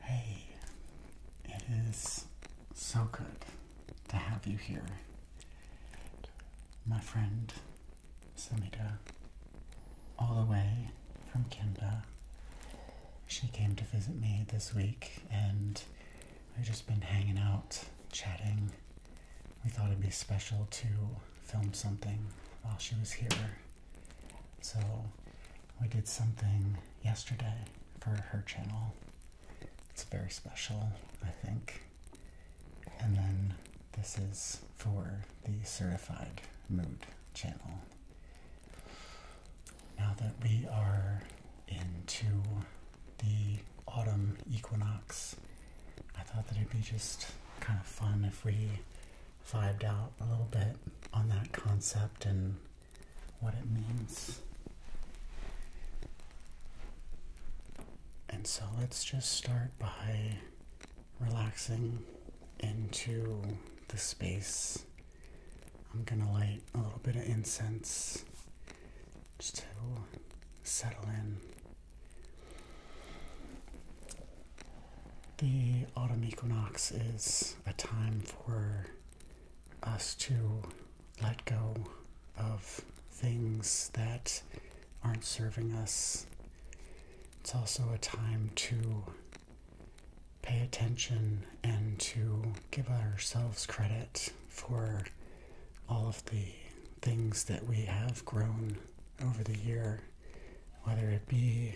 Hey, it is so good to have you here, my friend Samita. All the way from Kimba. She came to visit me this week, and we've just been hanging out, chatting. We thought it'd be special to film something while she was here. So we did something yesterday for her channel. It's very special, I think. And then this is for the Certified Mood channel. Now that we are into the autumn equinox, I thought that it'd be just kind of fun if we vibed out a little bit on that concept and what it means. And so let's just start by relaxing into the space. I'm gonna light a little bit of incense just to settle in. The autumn equinox is a time for us to let go of things that aren't serving us. It's also a time to pay attention and to give ourselves credit for all of the things that we have grown over the year, whether it be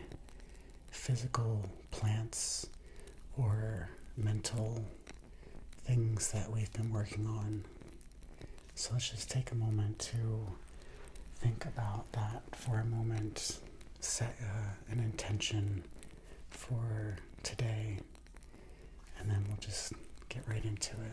physical plants or mental things that we've been working on. So let's just take a moment to think about that for a moment. Set uh, an intention for today, and then we'll just get right into it.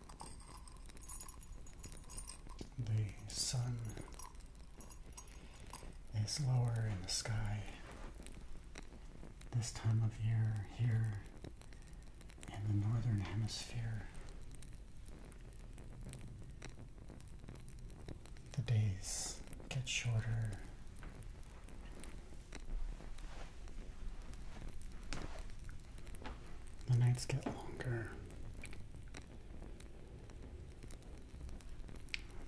The sun is lower in the sky this time of year here in the northern hemisphere. The days get shorter. The nights get longer.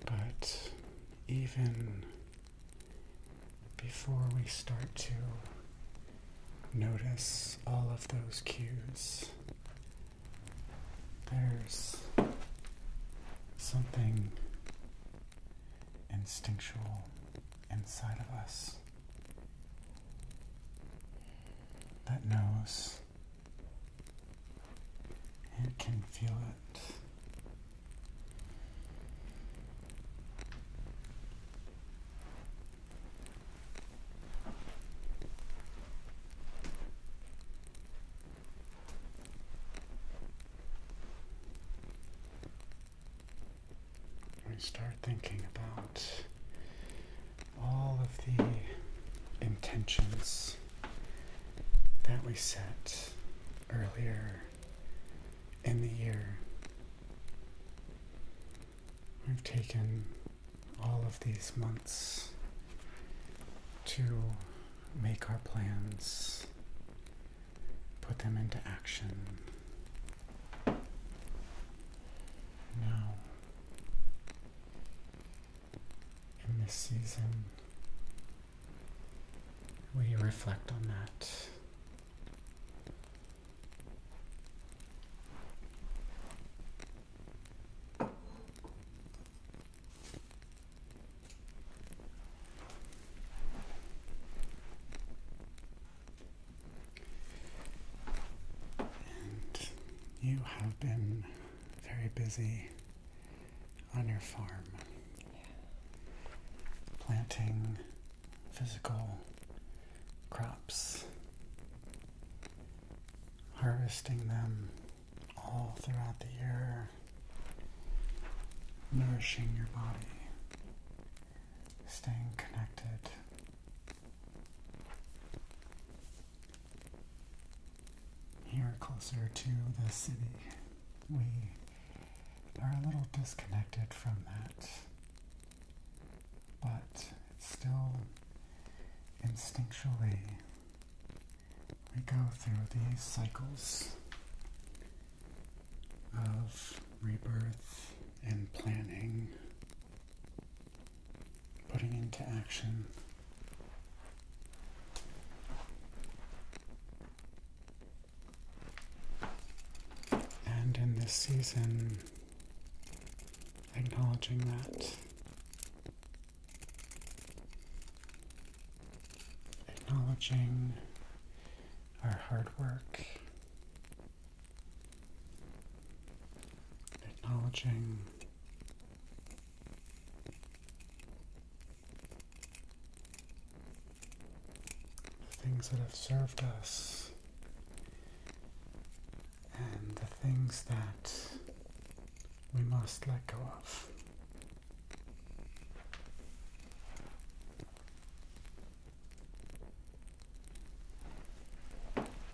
But even before we start to notice all of those cues, there's something instinctual inside of us that nose. and can feel it. We start thinking about all of the intentions that we set earlier in the year. We've taken all of these months to make our plans, put them into action. Now in this season. We reflect on that you have been very busy on your farm. Planting physical crops, harvesting them all throughout the year, nourishing your body, staying connected. Here, closer to the city, we are a little disconnected from that, but it's still instinctually we go through these cycles of rebirth and planning putting into action. And in this season, acknowledging that. Acknowledging our hard work acknowledging the things that have served us and the things that we must let go of.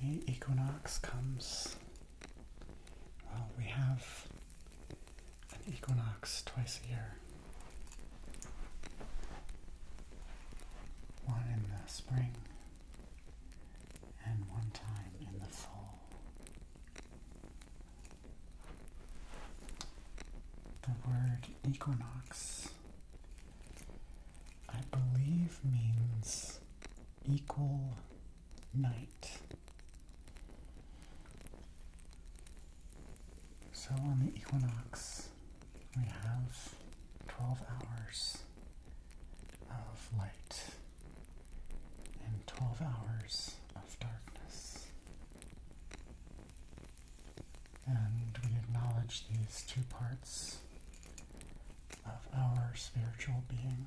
The equinox comes, well, we have an equinox twice a year. One in the spring and one time in the fall. The word equinox I believe means equal night. So on the equinox, we have 12 hours of light and 12 hours of darkness and we acknowledge these two parts of our spiritual being.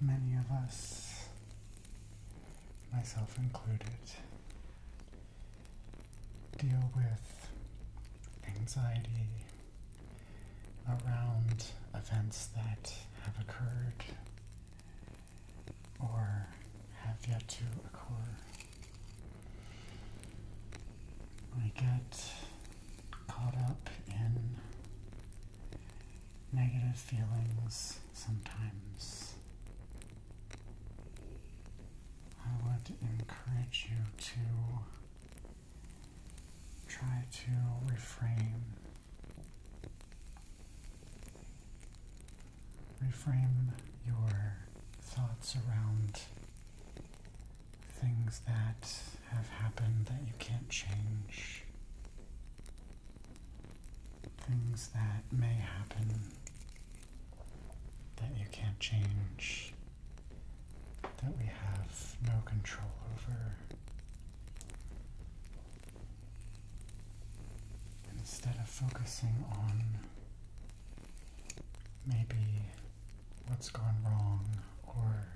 Many of us, myself included, deal with anxiety around events that have occurred or have yet to occur. We get caught up in negative feelings sometimes. I would encourage you to try to refrain Reframe your thoughts around things that have happened that you can't change, things that may happen that you can't change, that we have no control over. Instead of focusing on maybe what's gone wrong or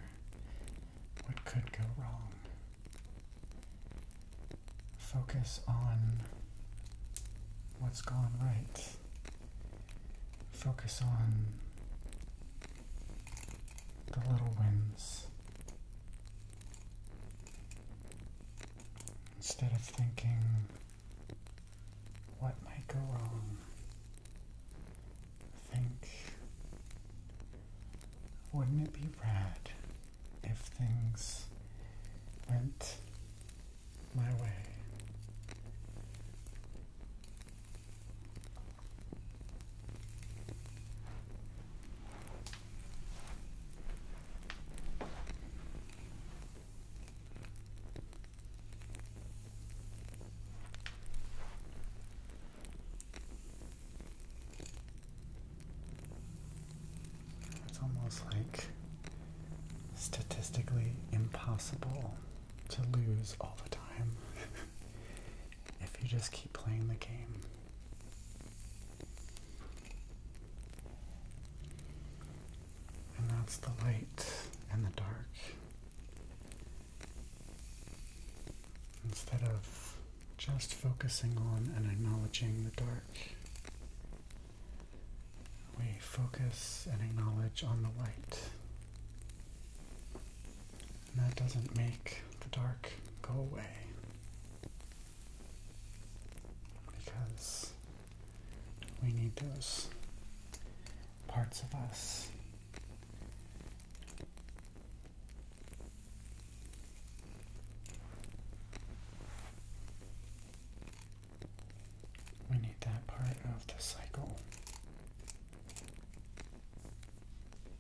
what could go wrong, focus on what's gone right. Focus on the little wins, Instead of thinking, what might go wrong? Think, wouldn't it be rad if things went my way? It's almost like statistically impossible to lose all the time if you just keep playing the game. And that's the light and the dark. Instead of just focusing on and acknowledging the dark, we focus and acknowledge on the light. And that doesn't make the dark go away because we need those parts of us we need that part of the cycle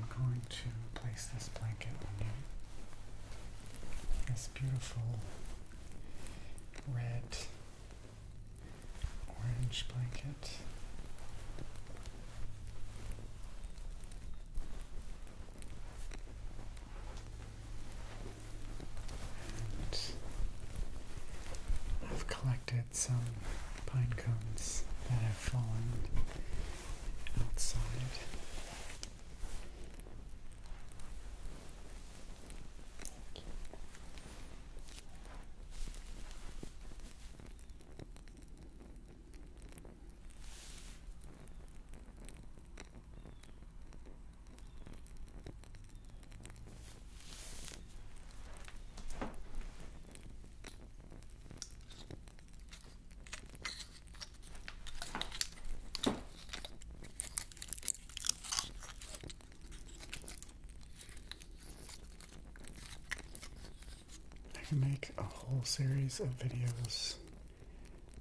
I'm going to place this blanket on you. This beautiful red orange blanket. I've collected some pine cones that have fallen outside. I can make a whole series of videos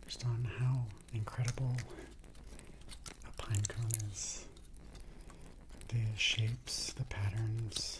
just on how incredible a pine cone is. The shapes, the patterns.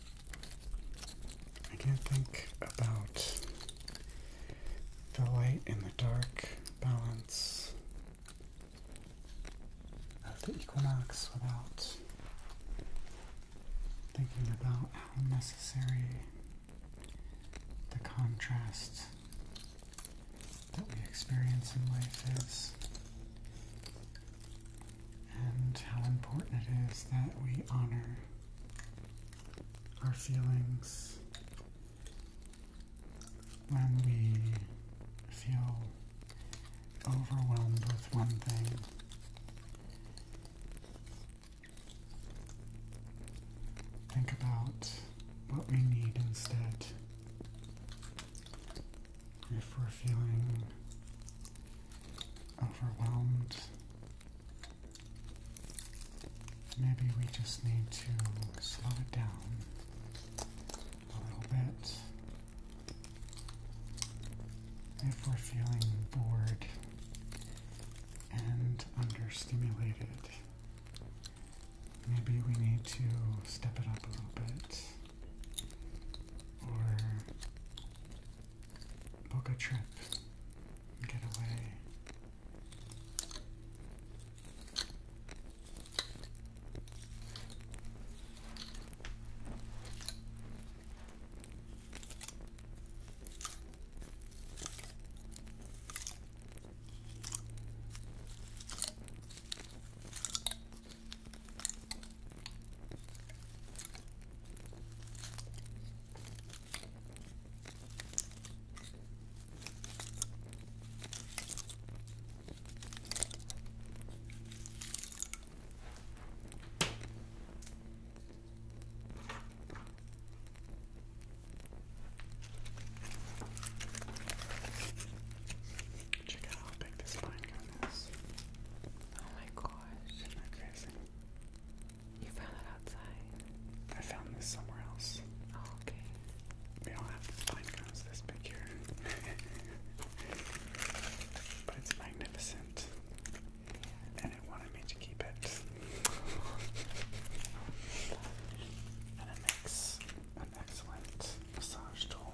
I can't think about the light and the dark balance of the equinox without thinking about how necessary the contrast that we experience in life is and how important it is that we honor our feelings when we feel overwhelmed with one thing. Think about what we need instead. If we're feeling overwhelmed. Maybe we just need to slow it down a little bit. If we're feeling bored and understimulated, maybe we need to step it up a little bit or Book a trip. Get away. Check out how big this line is. Oh my gosh. Isn't crazy? You found it outside? I found this somewhere else. Oh, okay. We don't have pine cones this big here. but it's magnificent. And it wanted me to keep it. and it makes an excellent massage tool.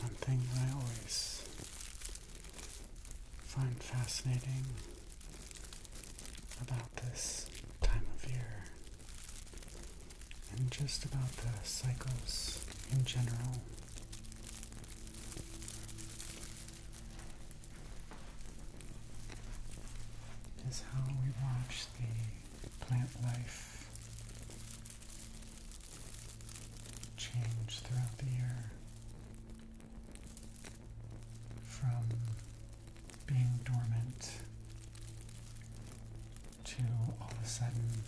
One thing that I always find fascinating about this time of year and just about the cycles in general. Is how we watch the plant life change throughout the year from being dormant to all of a sudden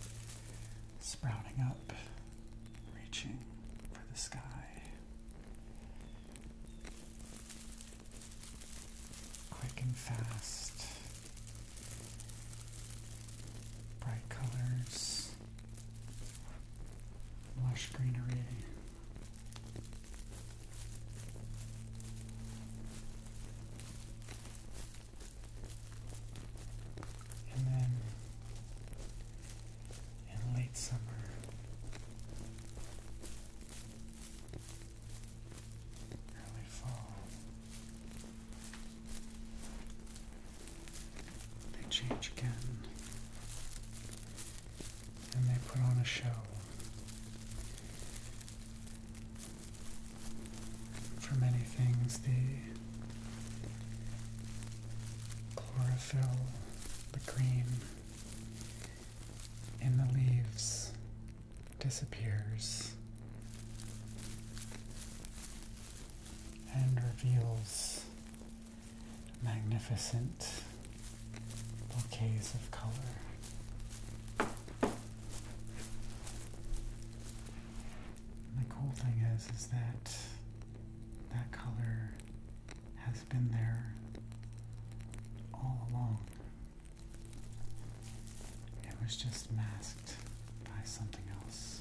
sprouting up, reaching for the sky. Quick and fast, bright colors, lush greenery. And then in late summer, early fall. They change again. And they put on a show. For many things, the chlorophyll, the green in the leaves disappears and reveals magnificent bouquets of color. the cool thing is, is that that color has been there all along. It was just masked by something else.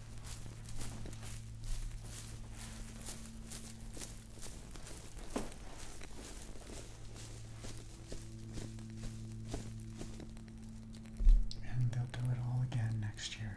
And they'll do it all again next year.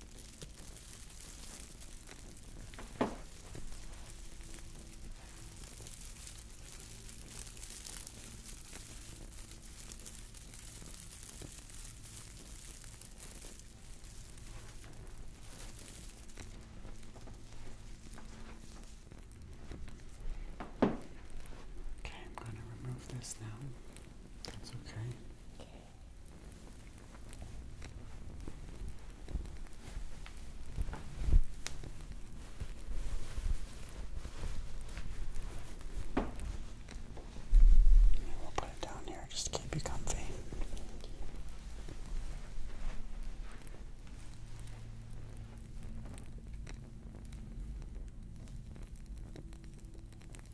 Okay, I'm going to remove this now. That's okay. We'll put it down here just to keep you comfy.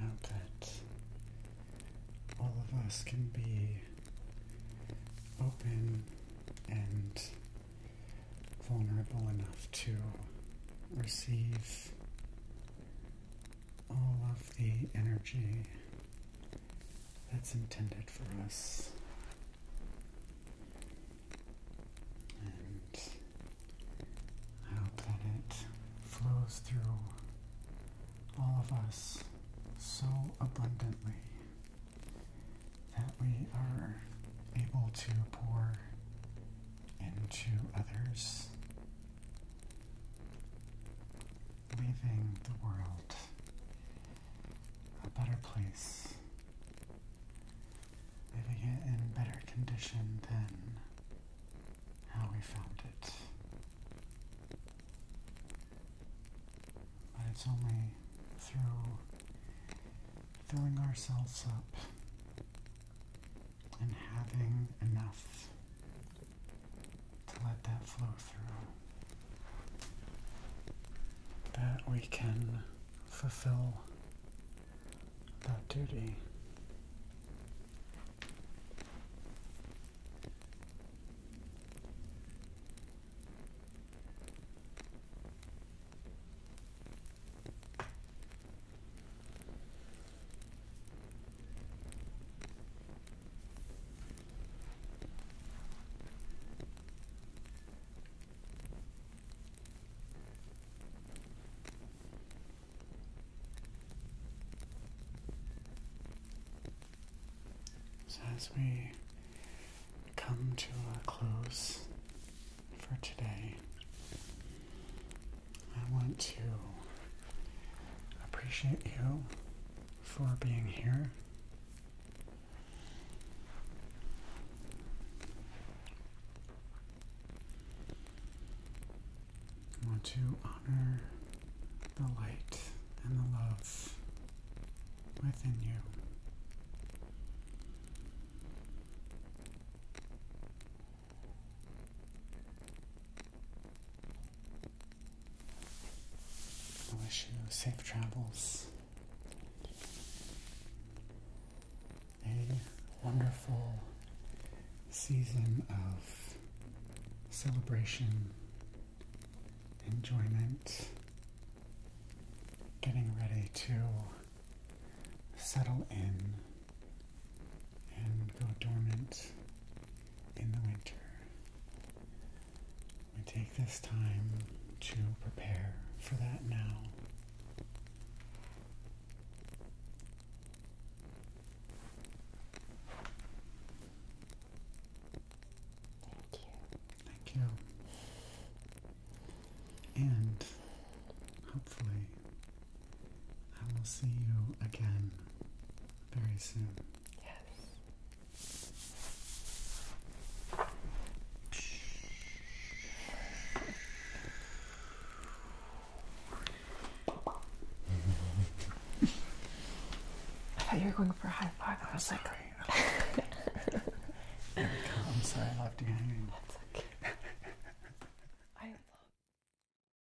Now that all of us can be open and vulnerable enough to receive all of the energy that's intended for us. And I hope that it flows through all of us so abundantly that we are able to pour into others leaving the world a better place, leaving it in better condition than how we found it. But it's only through filling ourselves up and having enough to let that flow through, that we can fulfill that duty. So, as we come to a close for today, I want to appreciate you for being here. I want to honor the light and the love within you. I wish you safe travels a wonderful season of celebration, enjoyment, getting ready to settle in and go dormant in the winter. We take this time to prepare for that now. Thank you. Thank you. And hopefully, I will see you again very soon. Yes. I thought you were going for a high five. I was like, there we go. I'm sorry I left you hanging. That's okay. I love.